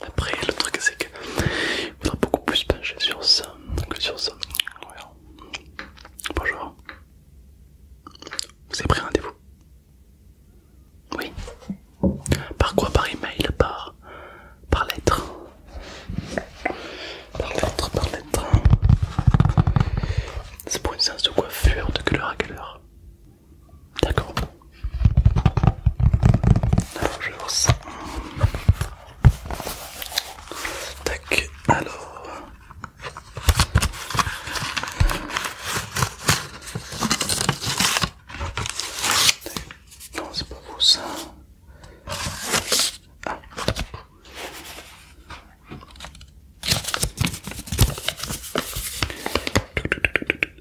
Après, le truc c'est qu'il faudra beaucoup plus pencher sur ça que sur ça. Bonjour. Vous avez pris rendez-vous Oui. Par quoi Par email Par, par lettre Par lettre, par lettre. C'est pour une séance de coiffure de couleur à quelle heure D'accord. Alors, je vais voir ça. Tac, alors. Non, c'est pas beau ça. Ah.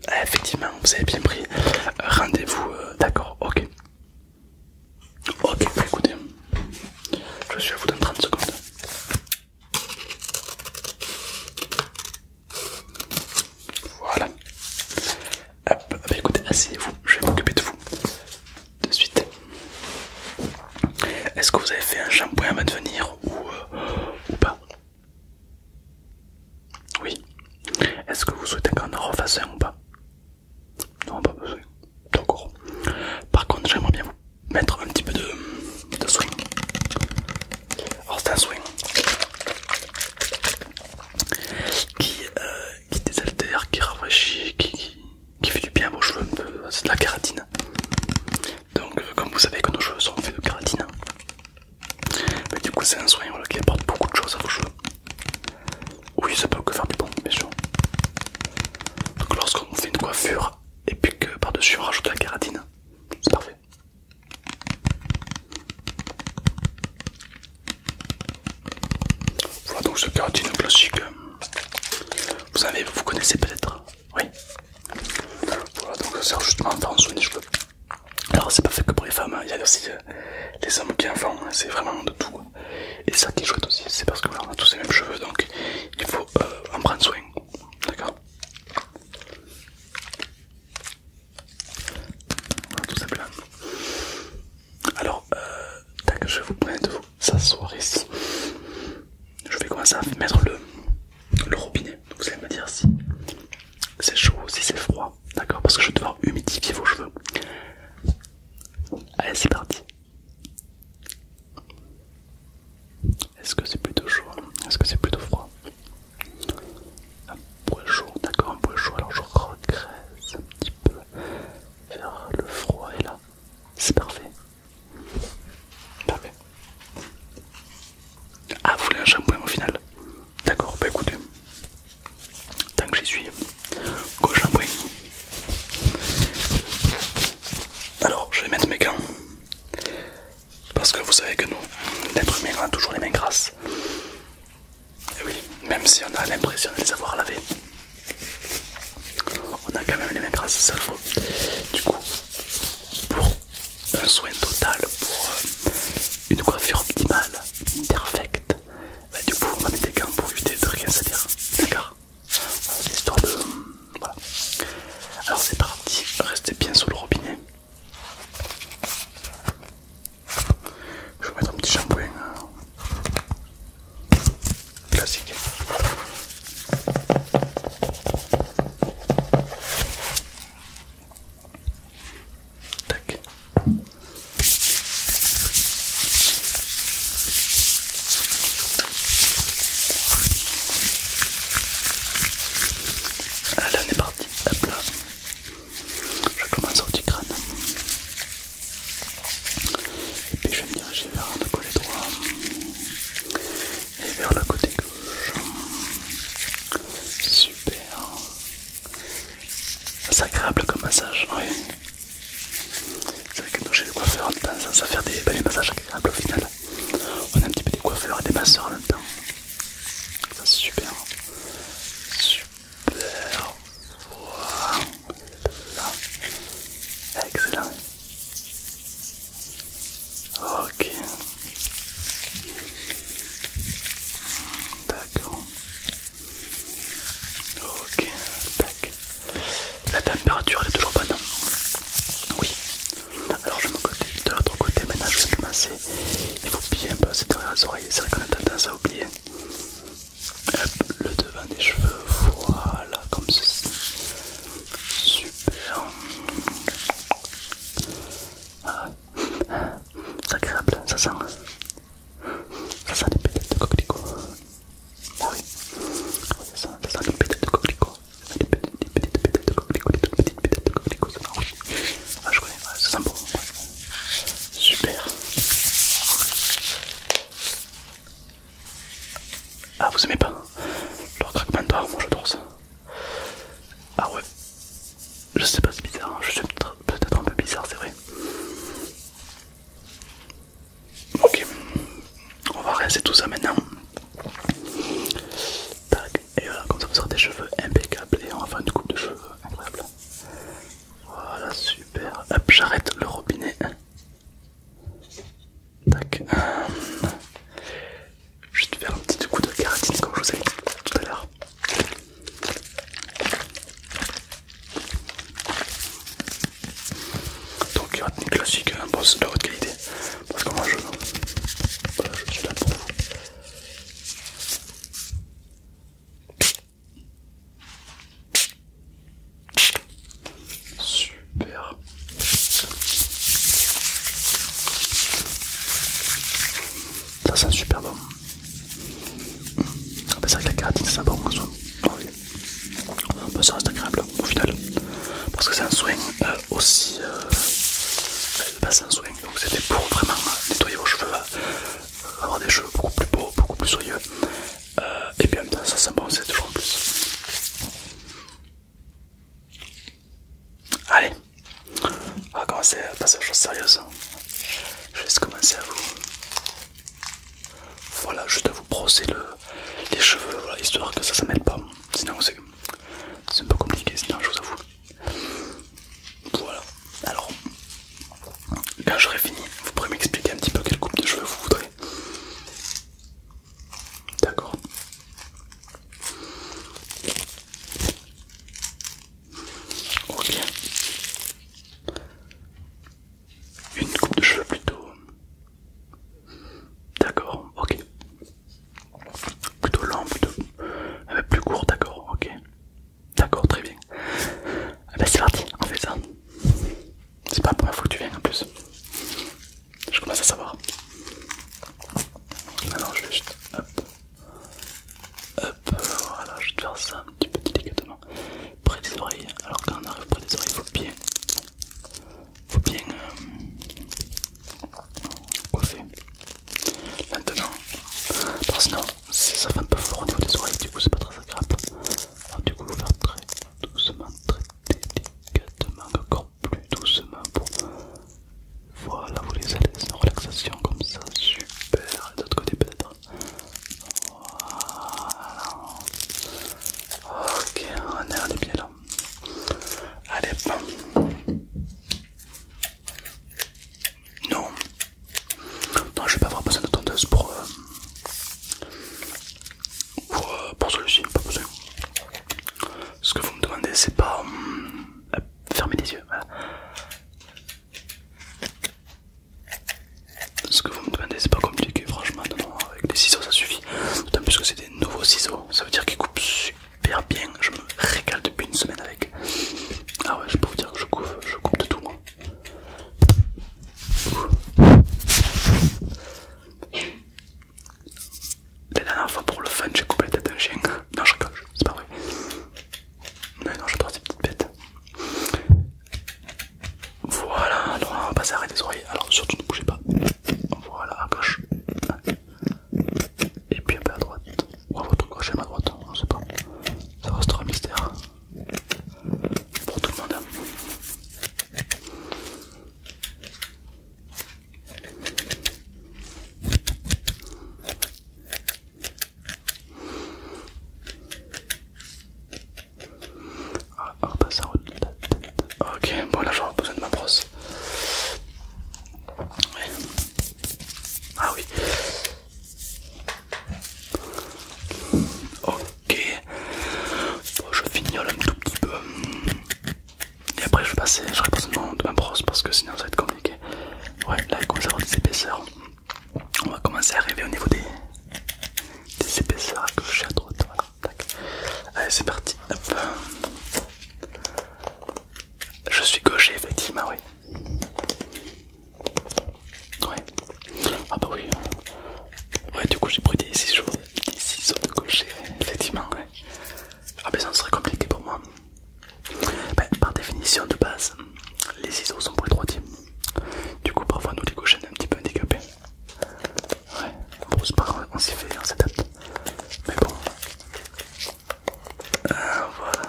Eh, effectivement, vous avez bien pris euh, rendez-vous, euh, d'accord, ok. Ok, bah, écoutez, je suis à vous dans 30 secondes. Voilà. Hop, bah, écoutez, asseyez-vous, je vais m'occuper de vous. De suite. Est-ce que vous avez fait un shampoing à de ou, euh, ou pas oui. Est-ce que vous souhaitez qu'on en refasse un ou pas Non, pas besoin. D'accord. Par contre, j'aimerais bien vous mettre un petit peu de, soin. swing. c'est un swing qui, euh, qui désaltère, qui rafraîchit, qui, fait du bien à vos cheveux. C'est de la kératine. Donc, euh, comme vous savez que nos cheveux sont faits de kératine, hein. Mais du coup, c'est un soin qui apporte beaucoup de choses à vos cheveux. Oui, ça peut que faire du bon, bien sûr. Donc, lorsqu'on fait une coiffure et puis que par-dessus on rajoute la kératine, c'est parfait. Voilà donc ce kératine classique. Vous, vous connaissez peut-être, oui. Voilà donc ça sert justement à faire un soin des cheveux. Alors c'est pas fait que pour les femmes, hein. il y a aussi euh, les hommes qui en font, hein. c'est vraiment de tout. Hein. Et ça qui est chouette aussi, c'est parce que voilà, on a tous les mêmes cheveux, donc il faut euh, en prendre soin. D'accord Tout Alors, euh, tac, je vous prête de vous ici. Je vais commencer à mettre le, robinet. Vous allez me dire si c'est chaud, ou si c'est froid d'accord Parce que je vais devoir humidifier vos cheveux. Allez, c'est parti. Est-ce que c'est plutôt chaud Est-ce que c'est plutôt froid Un poil chaud, d'accord, un poil chaud. Alors je regresse un petit peu vers le froid et là, c'est parfait. Parfait. Ah, vous voulez un shampoing au final D'accord, bah écoutez, Tant que j'y suis, go shampoing. Alors, je vais mettre mes gants. Parce que vous savez que nous, les humain, on a toujours les mains grasses. Et oui, même si on a l'impression de les avoir lavées, on a quand même les mains grasses, ça le faut. Du coup, pour un soin total, pour euh, une coiffure optimale, perfecte. Bah, du coup, on mettre des gants pour éviter de rien se dire. D'accord l'histoire de. Voilà. Alors, c'est parti, restez bien sous le robinet. Je vais mettre un petit shampoing euh, classique. Allez, ah, on est parti. Hop là. Je commence au du crâne. Et puis je vais me diriger vers le côté droit et vers le côté gauche. Super. C'est agréable comme massage, oui. C'est vrai que nous, chez les coiffeurs, on temps ça à faire des, massages agréables au final. On a un petit peu des coiffeurs et des masseurs en même temps. Ça, c'est super. Super. Voilà. Excellent. Ok. D'accord. Ok, tac. La température est toujours bonne. Hein. Oui. Alors je me côté de l'autre côté, maintenant je vais commencer. Il faut bien passer derrière les oreilles, c'est vrai qu'on a tendance à oublier. Hop, le devant des cheveux, voilà, comme ceci. Super. Ah. ah. C'est agréable, ça sent. Ça sent des pétales de coquelicot. Ah oui, ça sent, des pétales de coquelicot. Des petites pétales de coquelicot, les petites pétales de coquelicot, ça sent Ah, je connais, ça sent bon. Super. Ah, vous aimez pas le craquement d'or, moi je ça. Ah ouais, je sais pas, c'est bizarre, hein. je suis peut-être un peu bizarre, c'est vrai. Ok, on va rincer tout ça maintenant. Tac, et voilà, comme ça vous aurez des cheveux impeccables et on va faire une coupe de cheveux incroyable. Voilà, super. Hop, j'arrête le robinet. Tac. Je vais faire un petit coup de caratine comme je vous ai dit tout à l'heure. Donc il des classique, un boss de haute qualité. Parce que moi je, voilà, je suis là pour vous. Super. Ça sent super bon. ça ah, c'est vrai que la caratine ça sent bon en soi. Ah ah, bah, ça reste agréable au final. Parce que c'est un soin euh, aussi... Euh, bah, c'est un soin, donc c'était pour vraiment nettoyer vos cheveux, euh, avoir des cheveux beaucoup plus beaux, beaucoup plus soyeux. et puis en même temps ça sent bon, c'est toujours en plus. Allez, on va commencer à passer aux choses sérieuses. Je laisse commencer à vous. Voilà, juste à vous brosser le, les cheveux, histoire que ça ne mêle pas. Sinon, c'est un peu compliqué, sinon, je vous avoue. Voilà, alors, quand j'aurai fini, vous pourrez m'expliquer un petit peu quelle coupe de cheveux vous voudrez. D'accord. Ok. Une coupe de cheveux plutôt. D'accord, ok. Plutôt long, plutôt. Euh, plus court, d'accord, ok. D'accord, très bien. Eh c'est parti, on fait ça. C'est pas la première fois que tu viens en plus. Je commence à savoir. Alors je vais juste. Hop. Hop, voilà, je vais te faire ça un petit peu délicatement près des oreilles. Alors, quand on arrive près des oreilles, il faut bien, faut bien euh, coiffer maintenant, parce que ça fait un peu fort au niveau des oreilles, du coup, c'est pas très agréable. Alors, du coup, je vais faire très doucement, très délicatement, encore plus doucement pour. Voilà, vous les allez en relaxation comme ça, super. Et de l'autre côté, peut-être voilà. Ok, on est, bien là. Allez, bon. Non. Non, je vais pas avoir besoin de tondeuse pour... Euh, euh, pour, celui-ci, pas besoin. Ce que vous me demandez, c'est pas... Hum, fermer les yeux, ce que vous me demandez, c'est pas compliqué, franchement. Non, avec des ciseaux, ça suffit. D'autant plus que c'est des nouveaux ciseaux, ça veut dire qu'ils coupent super bien. Je me régale depuis une semaine avec. Ah ouais, je peux vous dire que je coupe, je coupe de tout, moi. La dernière fois pour le fun, j'ai coupé la tête d'un chien. Non, je rigole, c'est pas vrai. Mais non, je dois ces petites bêtes. Voilà, on va passer à arrêter les oreilles. Alors surtout ne bougez pas. Voilà, à gauche. Et puis un peu à droite. Ou à votre gauche et à ma droite, on hein, sait pas. Ça restera un mystère. Pour tout le monde. Hein. Ah, Ok, bon là j'aurai besoin de ma brosse. Ah oui. Ok. je fignole un tout petit peu. Et après je vais passer, j'aurai besoin de ma brosse parce que sinon ça va être compliqué. Ouais, là il commence à avoir des épaisseurs on va commencer à arriver au niveau des, des épaisseurs à gauche et à droite. Allez, c'est parti. Je suis gaucher, effectivement, oui. Ouais. Ah, bah oui. Ouais, du coup, j'ai pris des ciseaux, de gaucher, effectivement, Ah, ben ça serait compliqué pour moi. Ben, par définition de base, les ciseaux sont pour les droitiers. Du coup, parfois, nous les cochons on est un petit peu handicapés. Ouais, bon, c'est pas on s'y fait, cette s'adapte. Mais bon. Euh, voilà.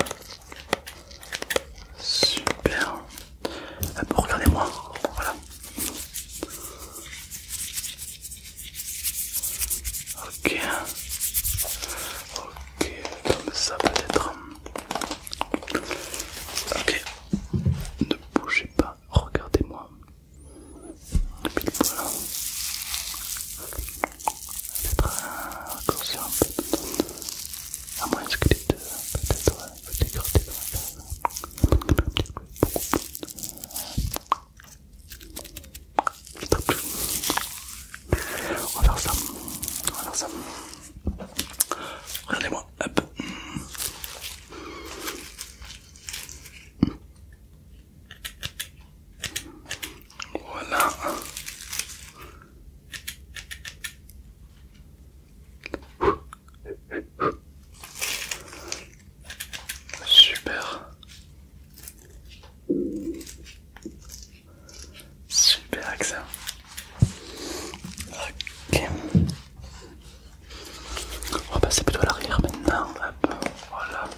Super. Ah, regardez-moi, voilà. Ok. Ok, comme ça peut-être. Ok, ne bougez pas, regardez-moi. depuis Peut-être un raccourci un peu. À moins que les deux, peut-être, vous décrottez dans la on va faire ça, on va faire ça. Regardez-moi. Voilà. Super. Super accent. Ok. On va passer plutôt à l'arrière maintenant. Voilà.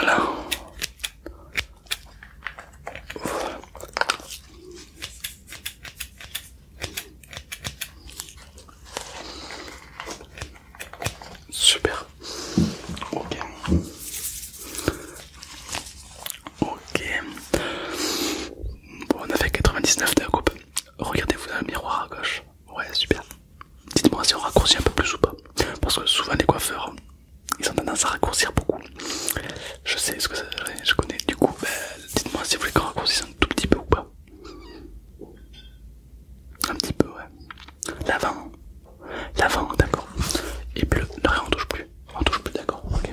Alors Super. Ok. Ok. Bon, on a fait 99 de la coupe. Regardez-vous dans le miroir à gauche. Ouais, super. Dites-moi si on raccourcit un peu plus ou pas. Parce que souvent les coiffeurs, ils ont tendance à raccourcir beaucoup. Je sais ce que ça je connais. Du coup, ben, dites-moi si vous voulez qu'on raccourcisse un tout petit peu ou pas. Un petit peu, ouais. L'avant. L'avant, d'accord. Et le derrière, on touche plus. On touche plus, d'accord. Ok.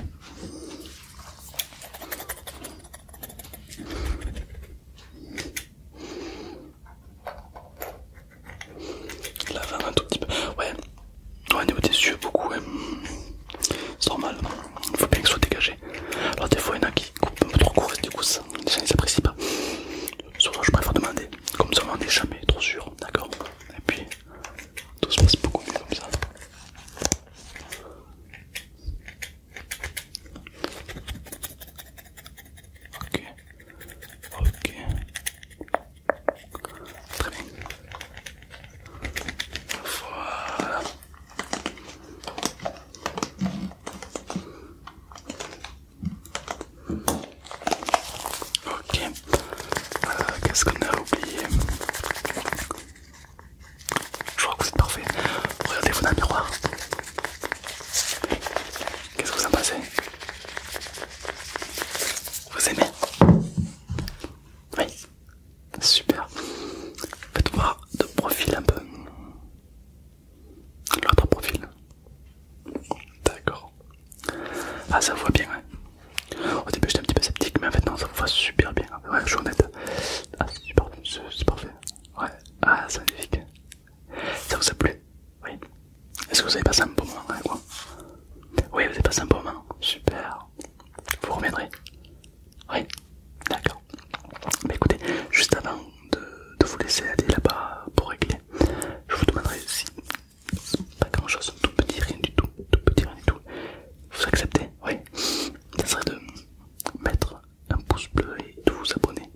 La lave un tout petit peu. Ouais, au niveau des yeux, beaucoup. C'est normal, il faut bien que soient dégagés. Alors, des fois, il y en a qui coupent un peu trop court du coup, ça, ils apprécient pas. Surtout, je préfère demander. Comme ça, on n'est jamais trop sûr, d'accord Et puis, tout se passe beaucoup mieux comme ça. Ok, ok, très bien. Voilà. Ok, qu'est-ce qu'on a oublié Je crois que vous parfait. Regardez-vous dans le miroir. Qu'est-ce que vous en pensez Vous aimez Oui Super Faites-moi de profil un peu. L'autre profil. D'accord. Ah ça vous voit bien ouais. Au début j'étais un petit peu sceptique mais en fait non ça vous voit super bien. Ouais je suis honnête. Ah c'est super, c'est parfait. Ouais. Ah c'est magnifique. Ça vous a plu Oui. Est-ce que vous avez passé un bon moment Oui, vous avez passé un bon moment. Super. Vous reviendrez Oui. D'accord. Mais bah, écoutez, juste avant de, de vous laisser aller là-bas pour régler, je vous demanderai si pas grand chose, tout petit, rien du tout, tout petit, rien du tout. Vous acceptez Oui. Ça serait de mettre un pouce bleu et de vous abonner.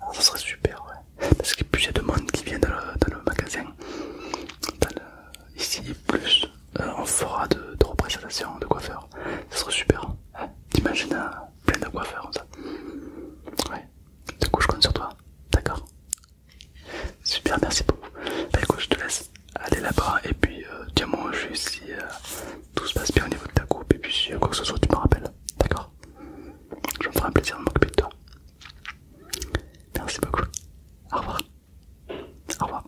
Ah, ça serait super, ouais. Parce que plus il y a de monde qui vient dans le, magasin, dans ici, plus on euh, fera de, représentation représentations de coiffeurs. Ça serait super. Hein. T'imagines hein, plein de coiffeurs ça. Ouais. Du coup, je compte sur toi. D'accord Super, merci beaucoup. Bah écoute, je te laisse aller là-bas et puis euh, tiens-moi si euh, tout se passe bien au niveau de ta coupe et puis si quoi que ce soit, tu me rappelles. D'accord je me ferai un plaisir de m'occuper de toi. Merci beaucoup. Au revoir. Au revoir.